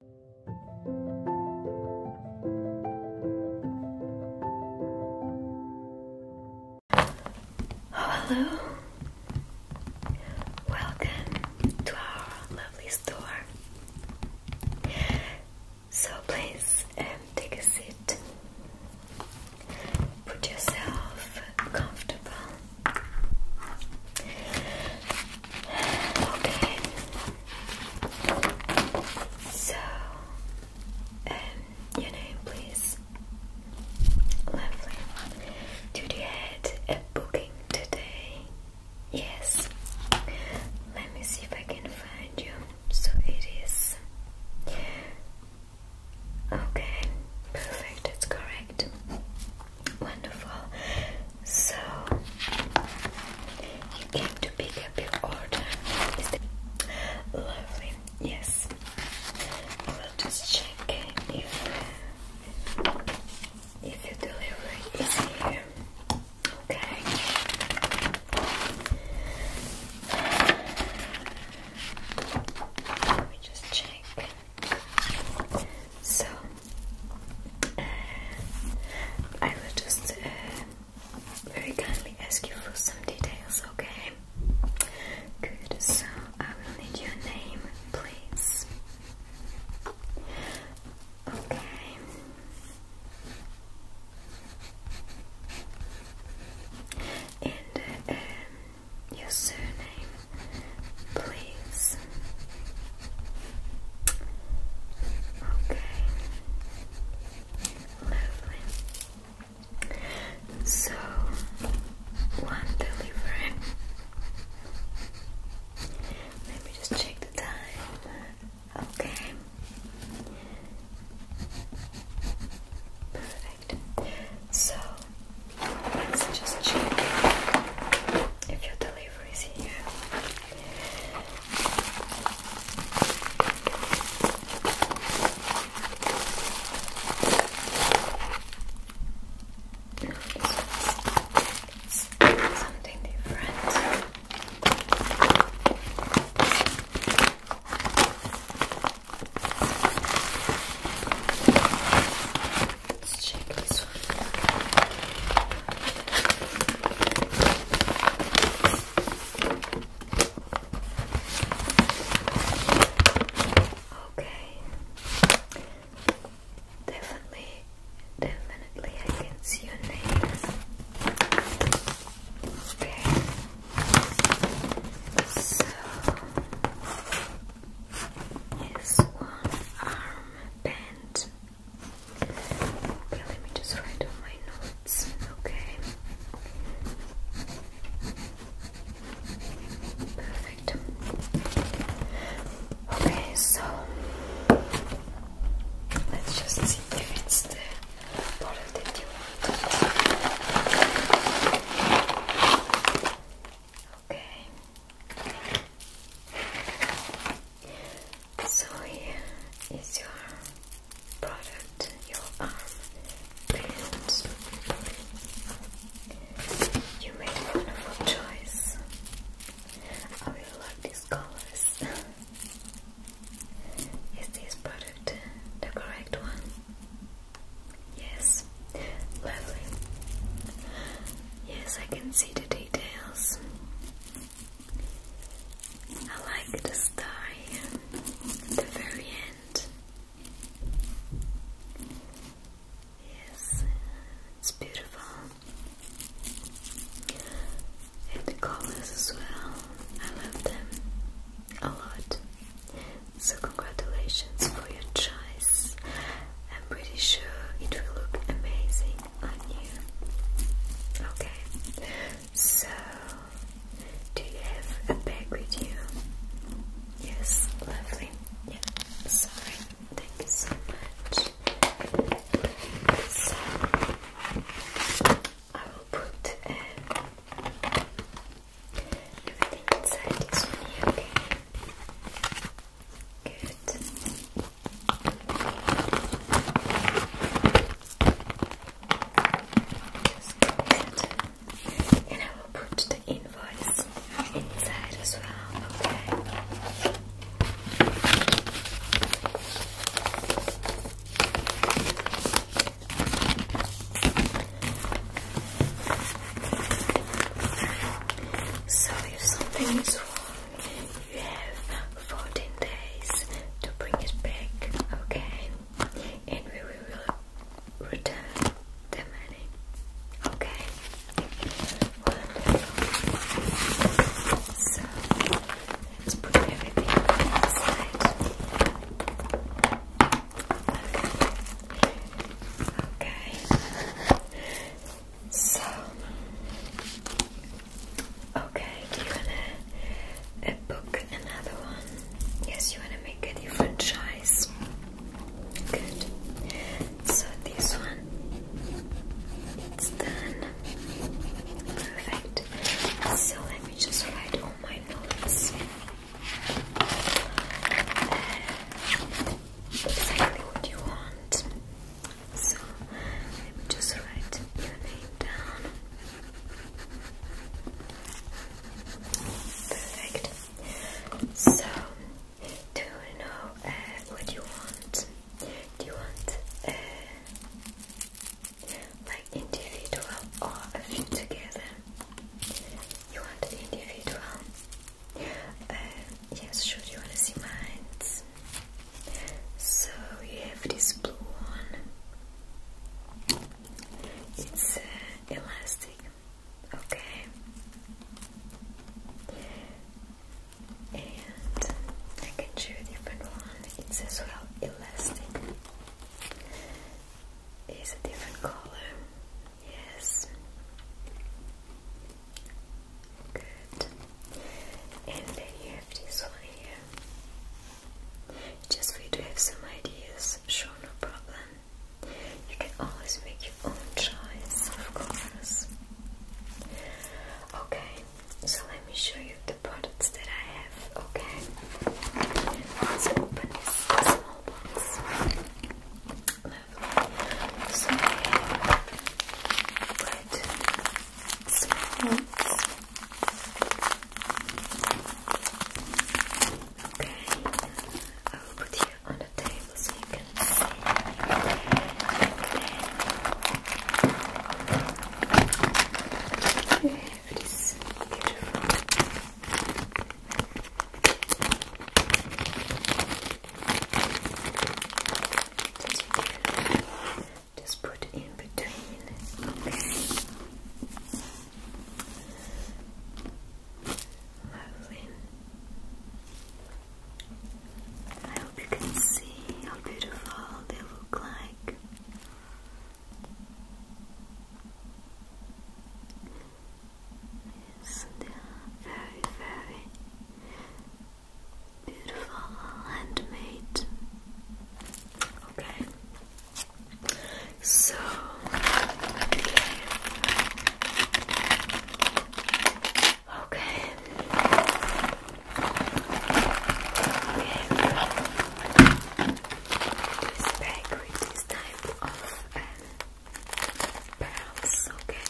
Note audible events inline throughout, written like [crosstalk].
Oh, hello. Welcome to our lovely store. So please um, take a seat. Put yourself comfortable. Okay. So, um, your name, please. Lovely. Did you had a booking today? Yes. Let me see if I can find you. So it is. Okay, perfect, that's correct. Wonderful. So you came to pick up your order. Is lovely? Yes. We'll just check if if your delivery is here. Okay. Let me just check. So I will just uh, very kindly ask you for some details, okay? Good. So I will need your name, please. Okay. And uh, um, your surname please. Okay. Lovely. So one delivery. Let me just check the time. Okay. Perfect. So Let's just check if your delivery is here. It's something different. Let's check this one. Okay. Definitely, definitely I can see your nails. Okay. So is one arm band. Okay, let me just write on my notes, okay? Perfect. Okay, so let's just see if it's the bottle you want. Okay. So here is your product, your arm brilliant. You made a wonderful choice. I really like these colors. Is this product the correct one? Yes, lovely. Yes, I can see the details. I like the star the very end. Yes, it's beautiful. And the colors as well. I love them a lot. So congratulations for your choice. I'm pretty sure it will look amazing on you. Okay. So do you have a bag with you? Yes, lovely. Yeah, sorry. Thank you so much. So I will put Everything inside is really okay. Good. Just and I will put the invoice inside as well, okay? So if something is wrong, you have 14 days to bring it back, okay? And we will return the money, okay? So let's put everything inside. Okay. So, okay, do you wanna uh, book another one? Yes, you wanna make a different choice. Good. So this one, it's done. Perfect. So let me just write all all exactly what you want. So let me just write your name down. Perfect. So, do you know uh, what you want? Do you want uh, like individual or a thing together. You want the individual? Uh, yes, sure, you wanna see mine? So you have this blue one. It's uh, elastic, okay? And I can show a different one. It's as well elastic. It's a different color. Yes. Good. And then you have this one here. Just for you to have some ideas, sure, no problem. You can always make your own choice, of course. Okay, so let me show you the products that I have, okay? Let's open this small box. So I have quite small Okay, I will put you on the table so you can see it is beautiful. Just put it in between. Lovely. I hope you can see how beautiful they look like back. Yes, very, very beautiful handmade. Okay. So Okay. Okay. This bag with this type of um, Okay. They're silver we're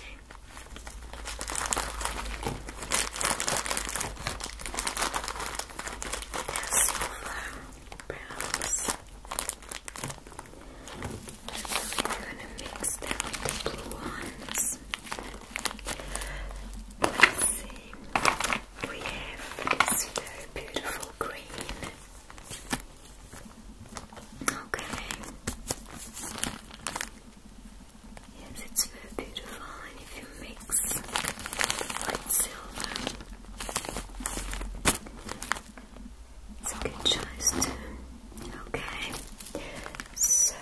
gonna mix them with the blue ones. Let's see. We have this very beautiful green. Okay. Yes, it's very beautiful, and if you mix white silver, it's a good choice too. Okay. So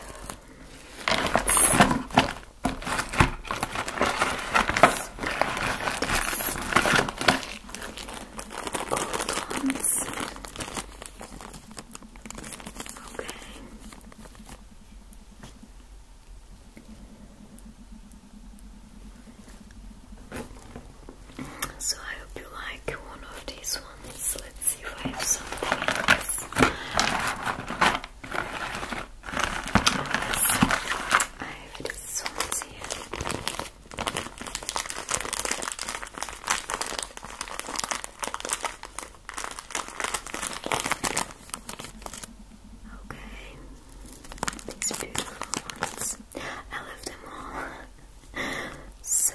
so I hope you like one of these these Let's see if I have something else. I have these here. Okay. These beautiful ones. I love them all. [laughs] So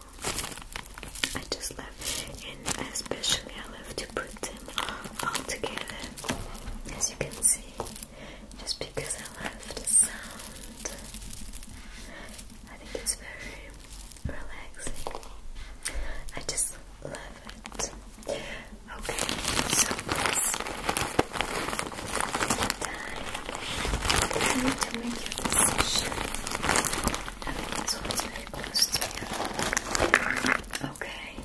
I just left and especially I love to put them all together as you can see just because I love the sound I think it's very relaxing I just love it okay so time I need to make your decision. Everything is always very close to you. Okay.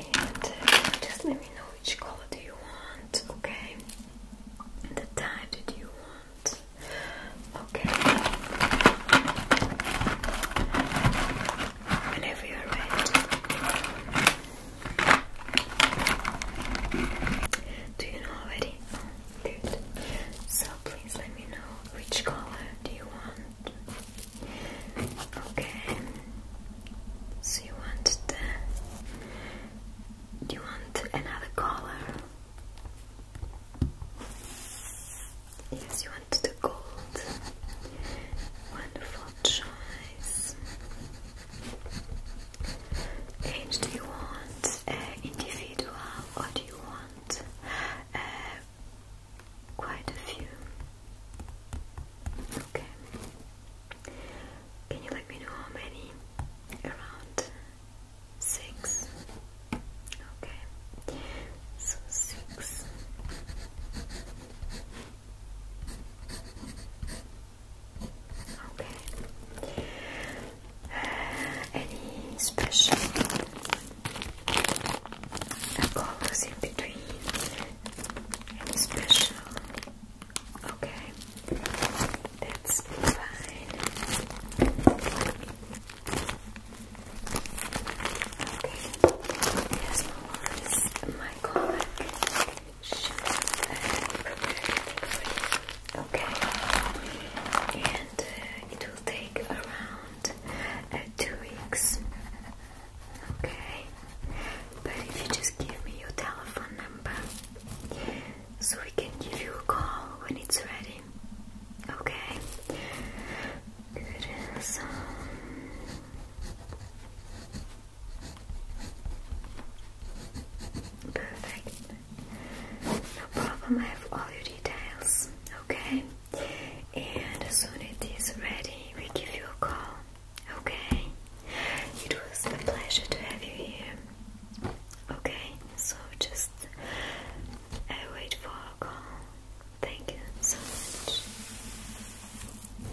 And uh, just let me know which color do you want, okay? the type that you want. Okay. Whenever you're ready. Do you know already? good. So please let me know which color do you want. Okay. So you want the do you want another color? Yes, you want the gold. Wonderful choice. Age, do you want uh, individual or do you want uh, quite a few? Okay. Can you let me know how many? Around six. Okay. So six. Okay. Any special colors in between? Any special? Okay, that's fine. Okay, yes, no worries. My colleague Okay, and uh, it will take around uh, two weeks. Okay, but if you just give me your telephone number, so we can give you a call when it's ready. Okay. Good. Perfect. No problem, I have all your details, okay? And as soon it is ready, we give you a call, okay? It was a pleasure to have you here, okay? So just I wait for a call. Thank you so much.